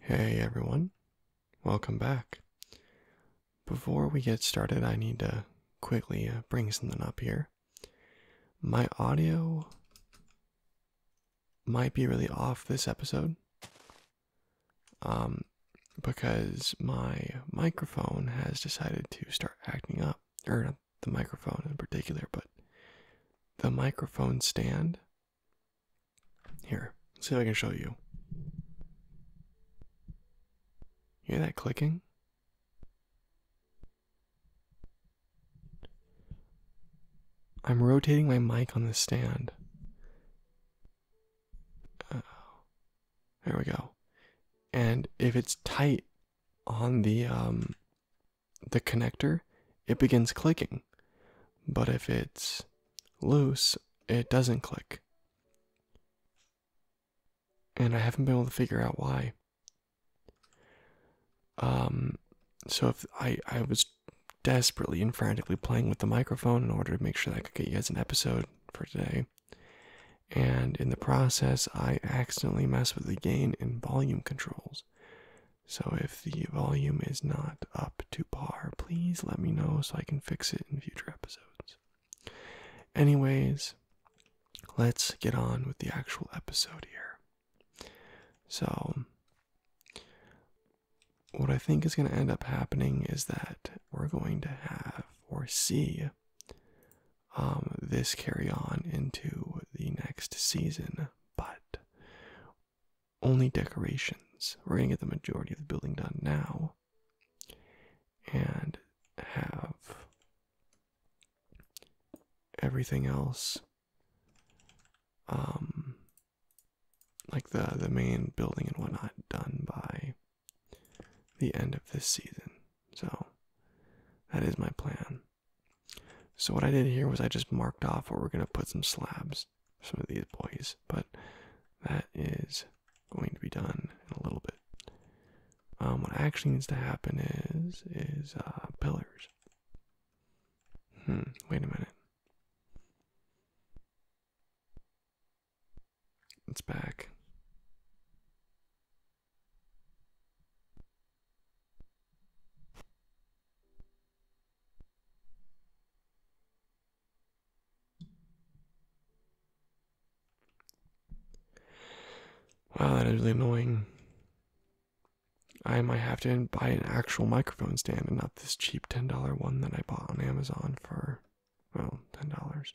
Hey everyone, welcome back. Before we get started, I need to quickly uh, bring something up here. My audio might be really off this episode um, because my microphone has decided to start acting up, the microphone in particular, but the microphone stand. Here, see if I can show you. Hear that clicking? I'm rotating my mic on the stand. Oh, there we go. And if it's tight on the um the connector, it begins clicking. But if it's loose, it doesn't click. And I haven't been able to figure out why. Um, so if I, I was desperately and frantically playing with the microphone in order to make sure that I could get you guys an episode for today. And in the process, I accidentally messed with the gain and volume control. So if the volume is not up to par, please let me know so I can fix it in future episodes. Anyways, let's get on with the actual episode here. So, what I think is going to end up happening is that we're going to have or see um, this carry on into the next season, but only decorations. We're going to get the majority of the building done now and have everything else um like the the main building and whatnot done by the end of this season so that is my plan so what I did here was I just marked off where we're gonna put some slabs, some of these boys, but that is going to be done in a little bit. Um, what actually needs to happen is is uh, pillars. Hmm. Wait a minute. It's back. Wow, that is really annoying. I might have to buy an actual microphone stand and not this cheap $10 one that I bought on Amazon for, well, $10.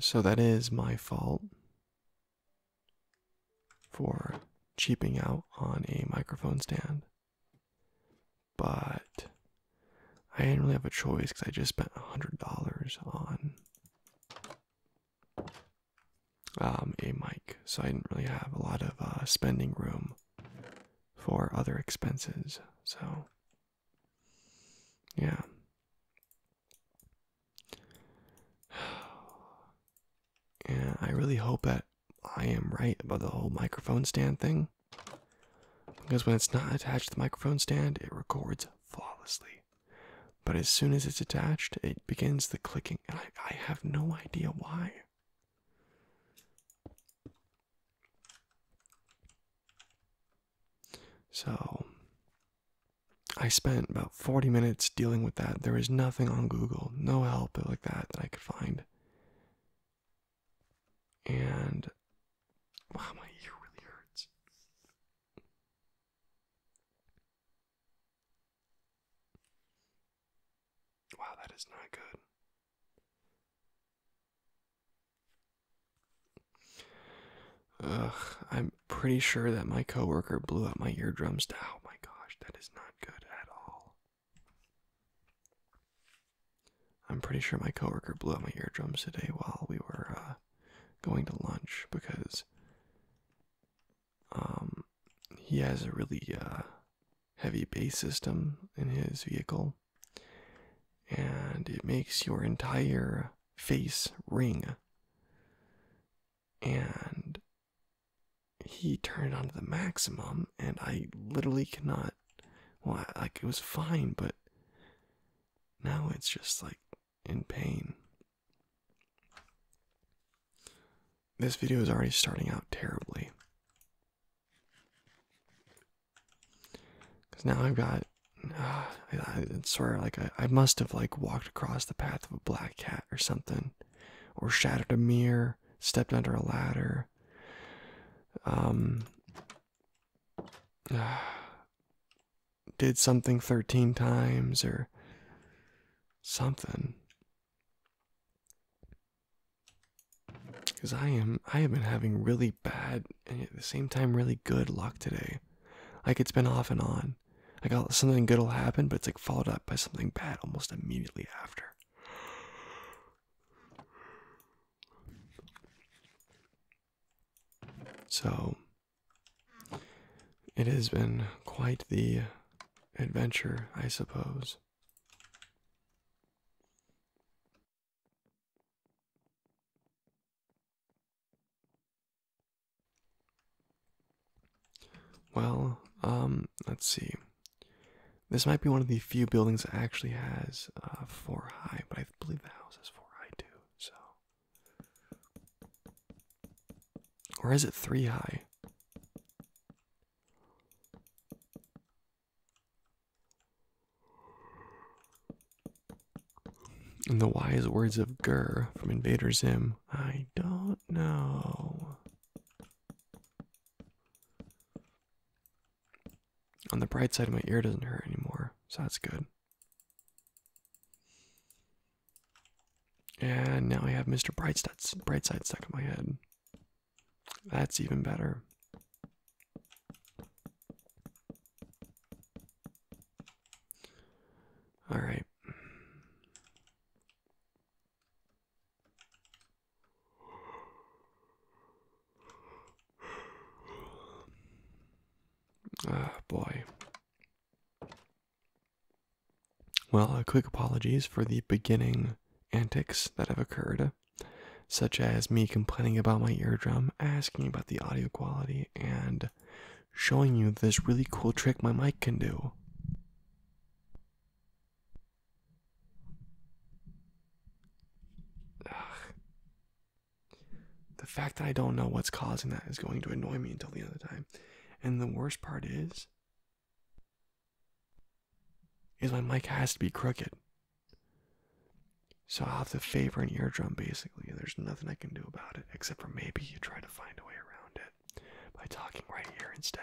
So that is my fault for cheaping out on a microphone stand. But I didn't really have a choice because I just spent $100 on um, a mic. So I didn't really have a lot of uh, spending room for other expenses. So, yeah. yeah. I really hope that I am right about the whole microphone stand thing. Because when it's not attached to the microphone stand, it records flawlessly. But as soon as it's attached, it begins the clicking, and I, I have no idea why. So I spent about 40 minutes dealing with that. There was nothing on Google, no help like that that I could find. And wow, my ear really hurts. Wow, that is not good. Ugh, I'm pretty sure that my coworker blew out my eardrums. Oh my gosh, that is not good at all. I'm pretty sure my coworker blew out my eardrums today while we were uh, going to lunch because um, he has a really uh, heavy bass system in his vehicle and it makes your entire face ring. And he turned it on to the maximum, and I literally cannot. Well, like it was fine, but now it's just like in pain. This video is already starting out terribly. Because now I've got, I, swear, like I, must have like walked across the path of a black cat or something, or shattered a mirror, stepped under a ladder. Um, did something 13 times or something. Cause I am I have been having really bad and at the same time really good luck today. Like it's been off and on. I got something good will happen, but it's like followed up by something bad almost immediately after. So it has been quite the adventure, I suppose. Well, um, let's see. This might be one of the few buildings that actually has uh, four high, but I believe the house is four high too. So, or is it three high? In the wise words of Gurr from Invader Zim, I don't know. On the bright side, my ear doesn't hurt anymore, so that's good. And now I have Mr. Brightside, Brightside stuck in my head. That's even better. All right. Ah, boy. Well, a quick apologies for the beginning antics that have occurred such as me complaining about my eardrum, asking about the audio quality, and showing you this really cool trick my mic can do. The fact that I don't know what's causing that is going to annoy me until the end of time. And the worst part is, is my mic has to be crooked. So I'll have to favor an eardrum basically. There's nothing I can do about it except for maybe you try to find a way around it by talking right here instead.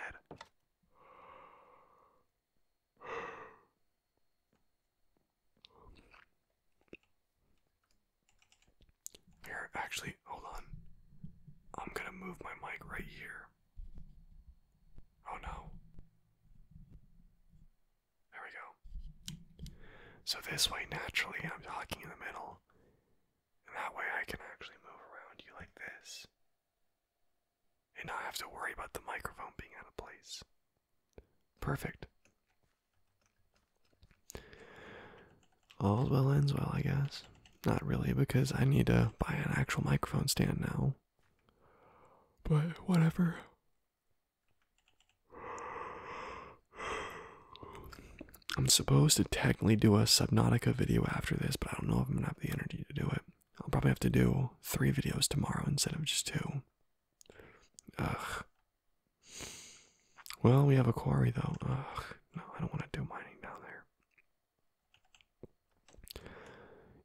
Here, actually, hold on. I'm gonna move my mic right here. Oh no. There we go. So this way, naturally, I'm talking in the middle. And that way I can actually move around you like this. And not have to worry about the microphone being out of place. Perfect. All's well ends well, I guess. Not really, because I need to buy an actual microphone stand now. But whatever. I'm supposed to technically do a Subnautica video after this, but I don't know if I'm gonna have the energy to do it. I'll probably have to do three videos tomorrow instead of just two. Ugh. Well, we have a quarry though. Ugh. No, I don't want to do mining down there.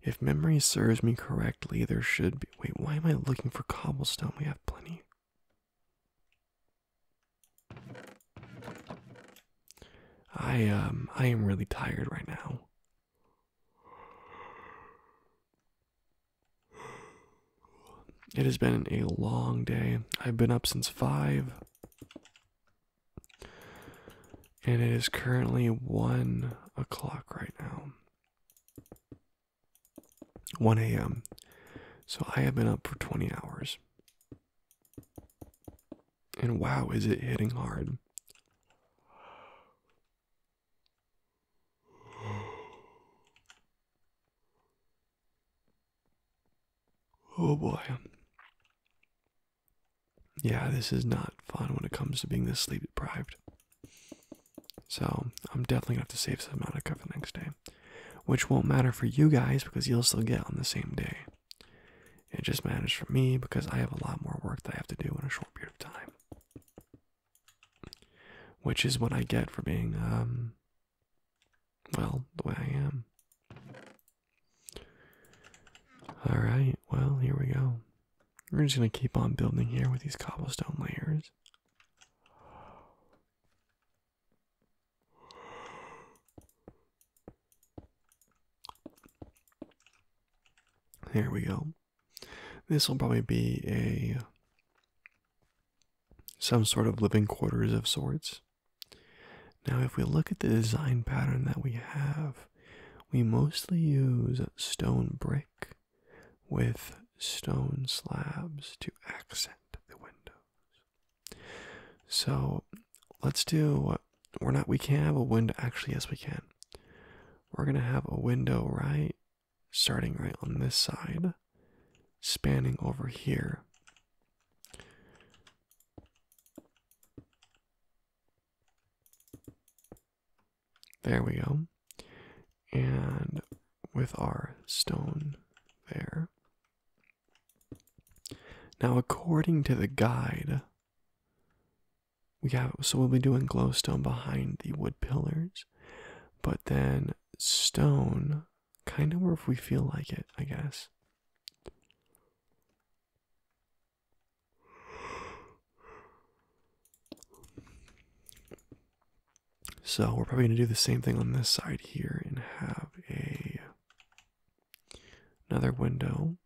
If memory serves me correctly, there should be. Wait, why am I looking for cobblestone? We have plenty. I um I am really tired right now. It has been a long day. I've been up since 5. And it is currently one o'clock right now. 1 a.m. So I have been up for 20 hours. And wow, is it hitting hard? Oh boy yeah, this is not fun when it comes to being this sleep deprived. So I'm definitely gonna have to save some Subnautica for the next day, which won't matter for you guys because you'll still get on the same day. It just matters for me because I have a lot more work that I have to do in a short period of time, which is what I get for being um, well, the way I am. All right, well, here we go. We're just going to keep on building here with these cobblestone layers. There we go. This will probably be a some sort of living quarters of sorts. Now if we look at the design pattern that we have we mostly use stone brick with stone slabs to accent the windows. So let's do we're not we can't have a window actually yes we can. We're gonna have a window right starting right on this side spanning over here there we go. And with our stone there. Now, according to the guide, we have so we'll be doing glowstone behind the wood pillars, but then stone kind of where if we feel like it, I guess. So we're probably going to do the same thing on this side here and have a another window.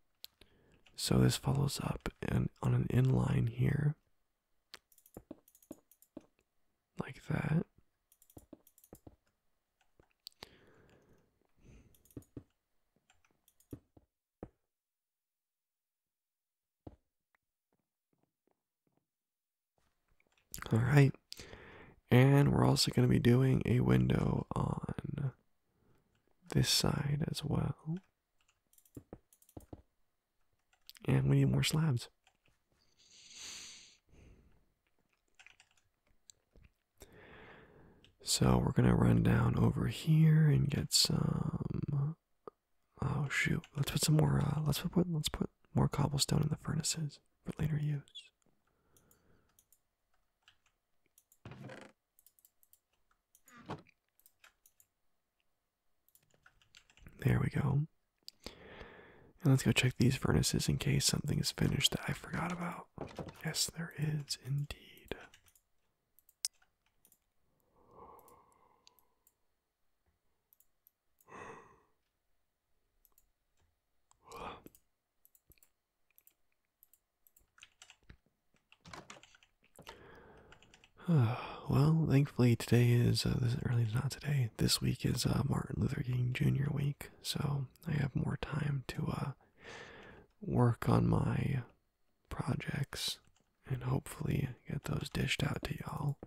So this follows up and on an inline here like that. All right. And we're also going to be doing a window on this side as well. And we need more slabs. So we're gonna run down over here and get some. Oh shoot! Let's put some more. Uh, let's put let's put more cobblestone in the furnaces for later use. There we go. And let's go check these furnaces in case something is finished that I forgot about. Yes, there is indeed. well, thankfully today is uh, this early. not today. This week is uh, Martin Luther King Jr. week, so I have more time to uh, work on my projects and hopefully get those dished out to y'all.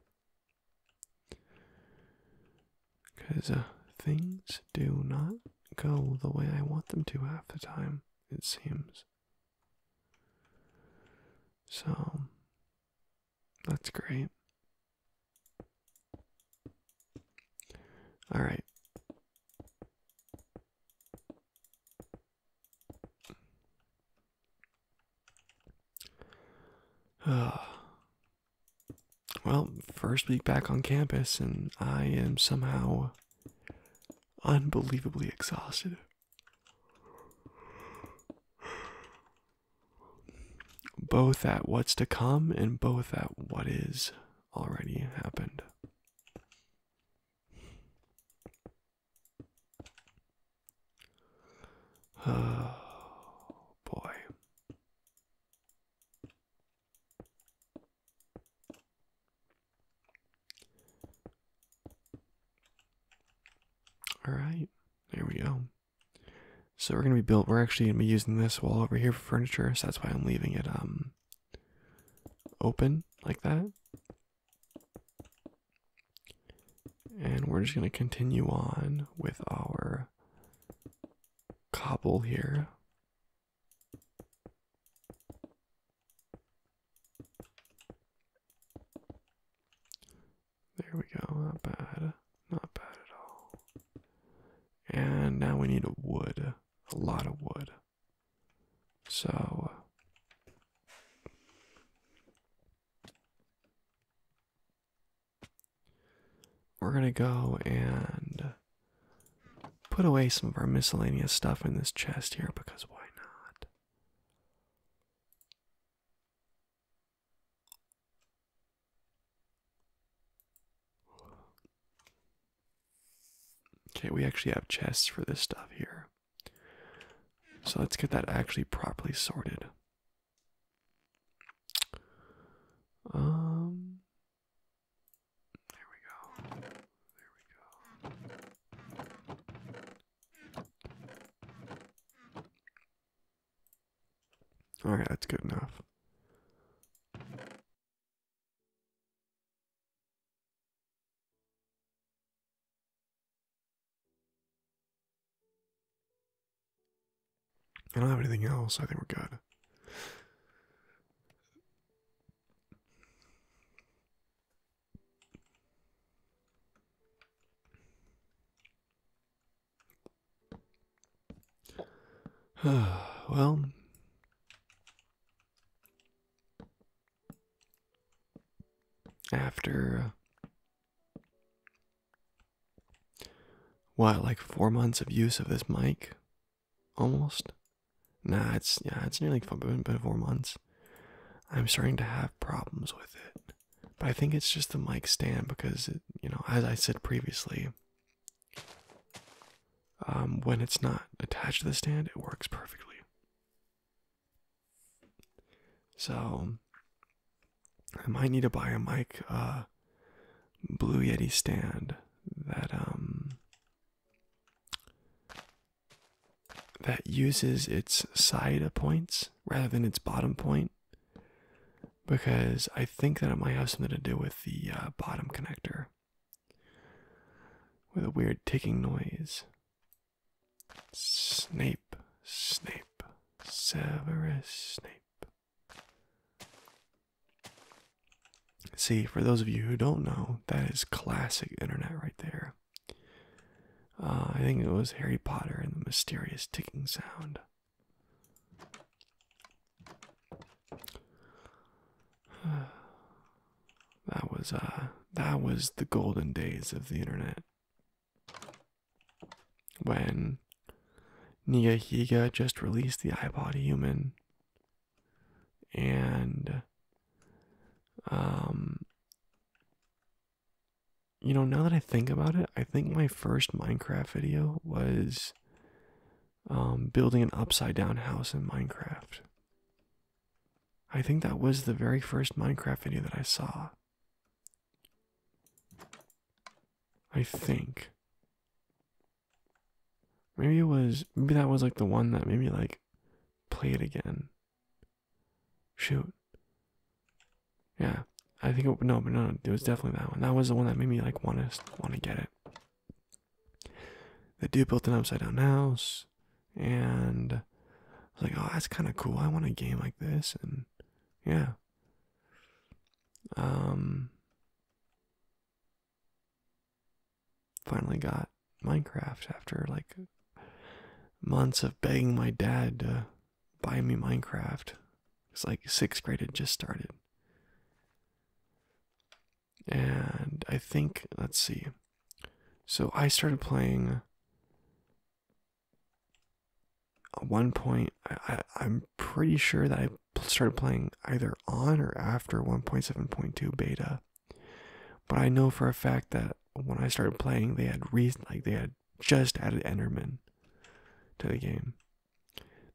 Because uh, things do not go the way I want them to half the time, it seems. So, that's great. Alright. well, first week back on campus, and I am somehow unbelievably exhausted. Both at what's to come and both at what is already happened. Oh boy. All right, there we go. So we're gonna be built. We're actually gonna be using this wall over here for furniture. So that's why I'm leaving it um open like that. And we're just going to continue on with our cobble here. There we go, not bad, not bad at all. And now we need a wood, a lot of wood. So uh, we're going to go and put away some of our miscellaneous stuff in this chest here because why not? Okay, we actually have chests for this stuff here. So let's get that actually properly sorted. Um There we go. There we go. All right, that's good enough. I don't have anything else. I think we're good. well, after uh, what, like four months of use of this mic, almost. Nah, it's yeah, it's nearly four months. I'm starting to have problems with it, but I think it's just the mic stand because you know, as I said previously, um, when it's not attached to the stand, it works perfectly. So, I might need to buy a mic, uh, Blue Yeti stand that, um, that uses its side points rather than its bottom point because I think that it might have something to do with the uh, bottom connector with a weird ticking noise. Snape, Snape, Severus Snape. See, for those of you who don't know, that is classic internet right there. Uh, I think it was Harry Potter and the mysterious ticking sound. that was uh that was the golden days of the internet when Nigahiga just released the iPod Human and um you know now that I think about it I think my first Minecraft video was um, building an upside down house in Minecraft. I think that was the very first Minecraft video that I saw. I think. Maybe it was, maybe that was like the one that made me like play it again. Shoot. Yeah, I think it, no, but no, it was definitely that one. That was the one that made me like want to want to get it. The dude built an upside down house, and I was like, "Oh, that's kind of cool. I want a game like this." And yeah, um, finally got Minecraft after like months of begging my dad to buy me Minecraft. It's like sixth grade had just started and I think let's see. So I started playing. one point, I, I am pretty sure that I started playing either on or after 1.7.2 beta, but I know for a fact that when I started playing, they had re- like they had just added Enderman to the game.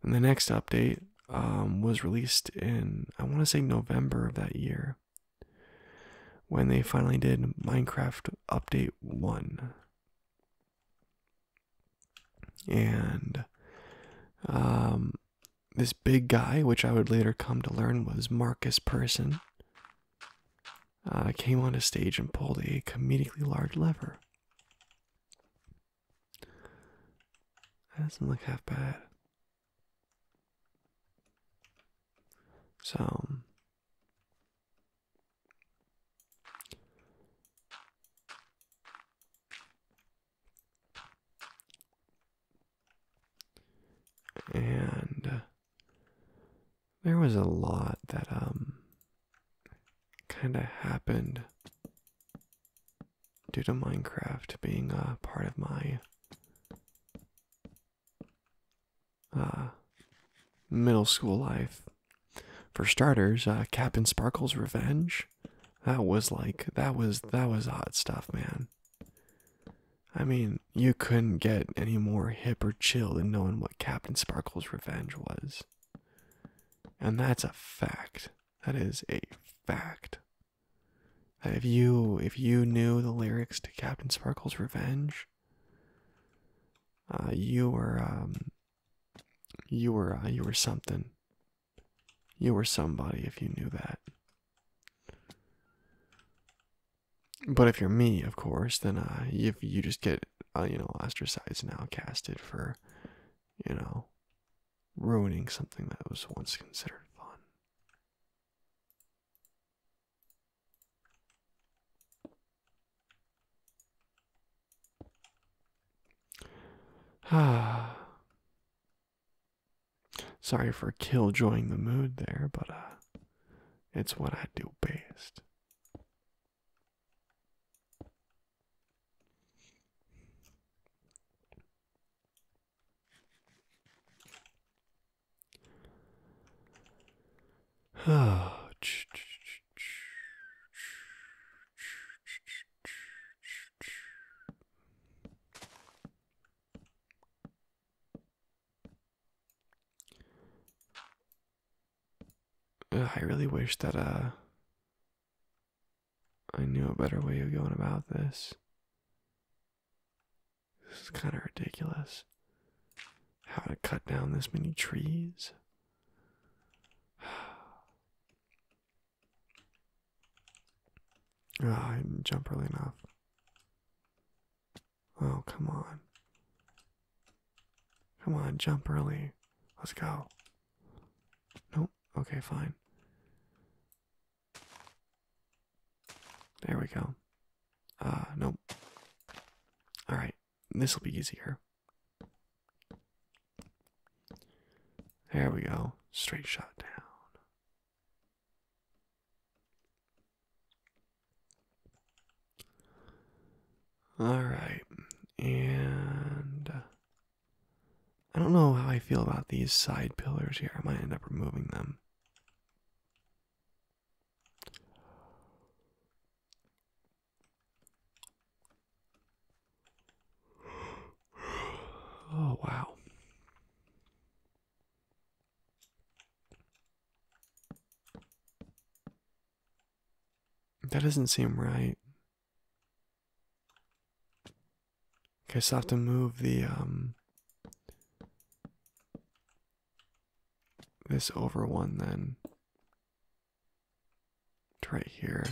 And the next update um, was released in, I want to say November of that year, when they finally did Minecraft Update 1. And um, this big guy, which I would later come to learn was Marcus Person, uh, came on a stage and pulled a comedically large lever. That doesn't look half bad. So and uh, there was a lot that um kind of happened due to Minecraft being a part of my uh, middle school life. For starters, uh, Captain Sparkle's Revenge. That was like that was that was hot stuff, man. I mean, you couldn't get any more hip or chill than knowing what Captain Sparkle's Revenge was. And that's a fact. That is a fact. If you if you knew the lyrics to Captain Sparkle's Revenge, uh, you were um, you were uh, you were something. You were somebody if you knew that. But if you're me, of course, then uh, if you just get you know ostracized and outcasted for, you know, ruining something that was once considered fun. Ah. Sorry for killjoying the mood there, but uh, it's what I do best. I really wish that uh, I knew a better way of going about this. This is kind of ridiculous. How to cut down this many trees? Oh, I didn't jump early enough. Oh, come on. Come on, jump early. Let's go. Nope. Okay, fine. There we go. Uh, nope. Alright, this will be easier. There we go. Straight shot down. All right, and uh, I don't know how I feel about these side pillars here. I might end up removing them. Oh, wow. That doesn't seem right. Okay, so i have to move the um this over one then to right here.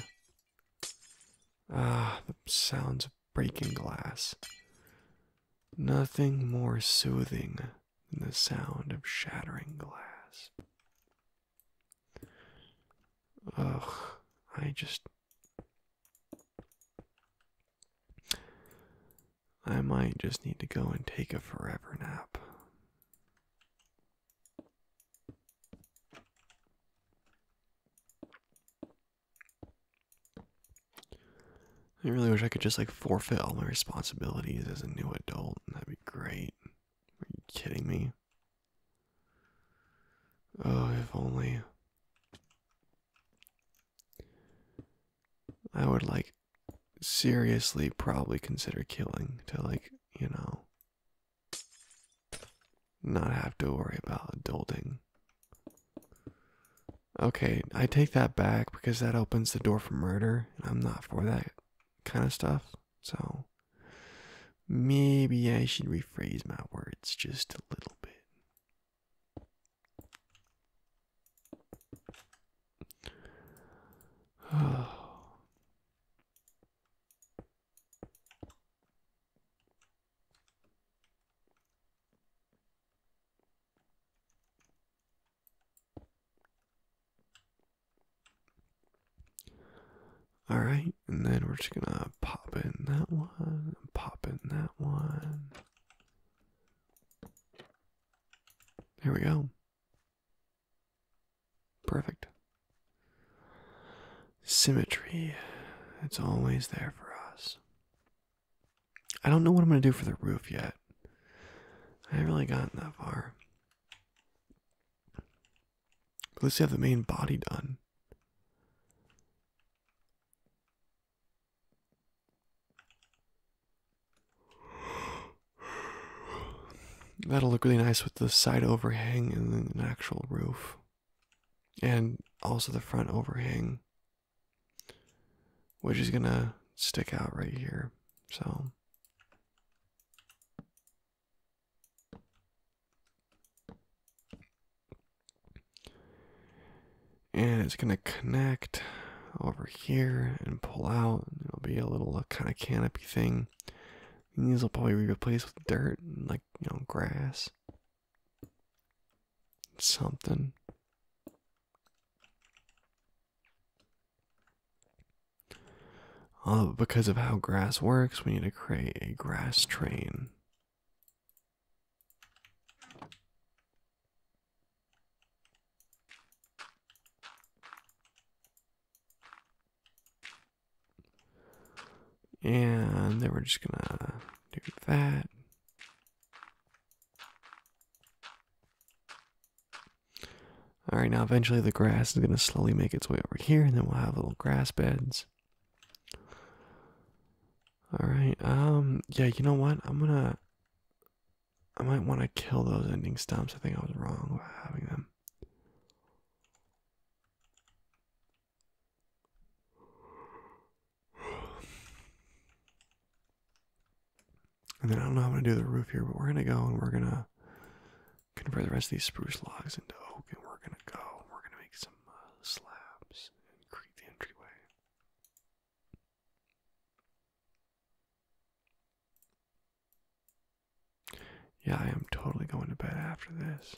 Ah, the sounds of breaking glass. Nothing more soothing than the sound of shattering glass. Ugh, I just. I might just need to go and take a forever nap. I really wish I could just like forfeit all my responsibilities as a new adult. That'd be great. Are you kidding me? Oh, if only. I would like seriously probably consider killing to, like, you know, not have to worry about adulting. Okay, I take that back because that opens the door for murder, and I'm not for that kind of stuff. So, Maybe I should rephrase my words just a little bit. All right, and then we're just gonna pop in that one, pop in that one. There we go. Perfect. Symmetry. It's always there for us. I don't know what I'm going to do for the roof yet. I haven't really gotten that far. But let's have the main body done. That'll look really nice with the side overhang and then an actual roof. And also the front overhang, which is gonna stick out right here. So and it's going to connect over here and pull out. It'll be a little uh, kind of canopy thing. these will probably be replaced with dirt and like, you know, grass. Something. Oh, because of how grass works, we need to create a grass train. And then we're just gonna do that. Alright, now eventually the grass is gonna slowly make its way over here, and then we'll have little grass beds. All right. Um. Yeah. You know what? I'm gonna. I might want to kill those ending stumps. I think I was wrong about having them. And then I don't know how I'm gonna do the roof here, but we're gonna go and we're gonna Convert the rest of these spruce logs into oak, and we're gonna go. We're gonna make some uh, slabs and create the entryway. Yeah, I am totally going to bed after this.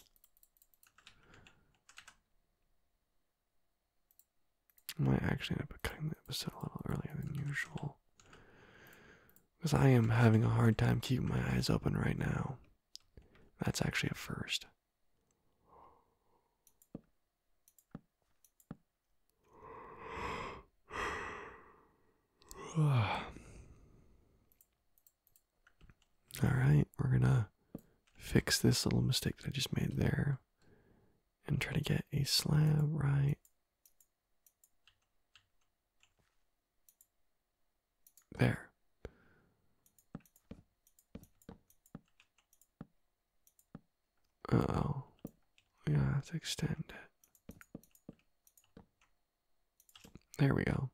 I might actually end up cutting the episode a little earlier than usual. Because I am having a hard time keeping my eyes open right now. That's actually a first. All right, we're gonna fix this little mistake that I just made there and try to get a slab right there. oh. Yeah, let's extend it. There we go.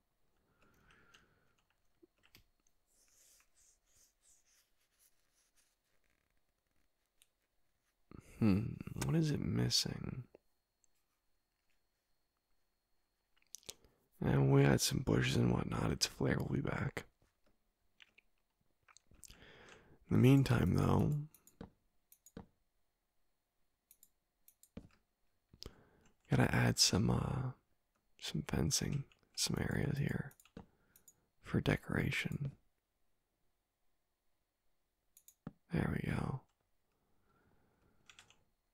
Hmm, what is it missing? And we add some bushes and whatnot. Its flare will be back. In the meantime, though, gotta add some uh, some fencing, some areas here for decoration. There we go.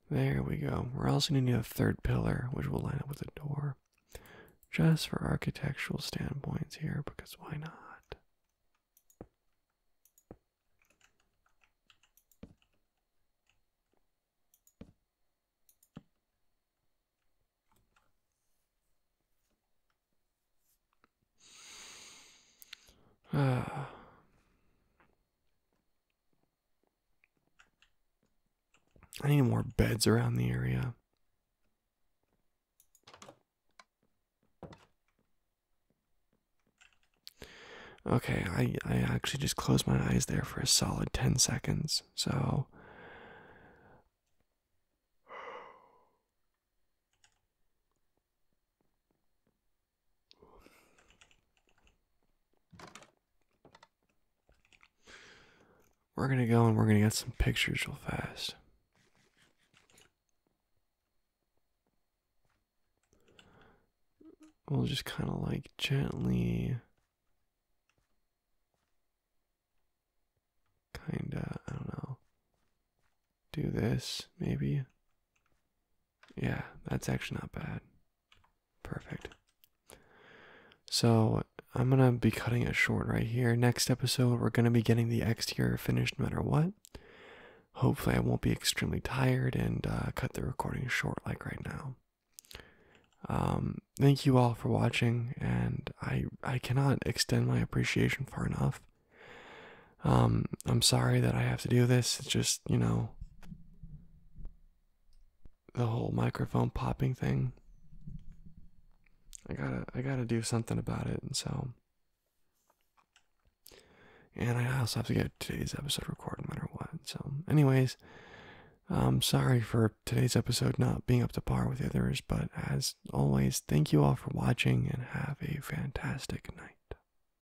There we go. We're also going to need a third pillar, which will line up with the door. Just for architectural standpoints here, because why not? Ah. I need more beds around the area. Okay, I, I actually just closed my eyes there for a solid 10 seconds. So. We're gonna go and we're gonna get some pictures real fast. We'll just kind of like gently, kind of, I don't know, do this maybe. Yeah, that's actually not bad. Perfect. So I'm gonna be cutting it short right here. Next episode, we're gonna be getting the exterior finished no matter what. Hopefully, I won't be extremely tired and uh, cut the recording short like right now. Um, thank you all for watching, and I I cannot extend my appreciation far enough. Um, I'm sorry that I have to do this. It's just, you know, the whole microphone popping thing. I gotta, I gotta do something about it, and so. And I also have to get today's episode recorded, no matter what. So, anyways, I'm sorry for today's episode not being up to par with the others, but as always, thank you all for watching and have a fantastic night.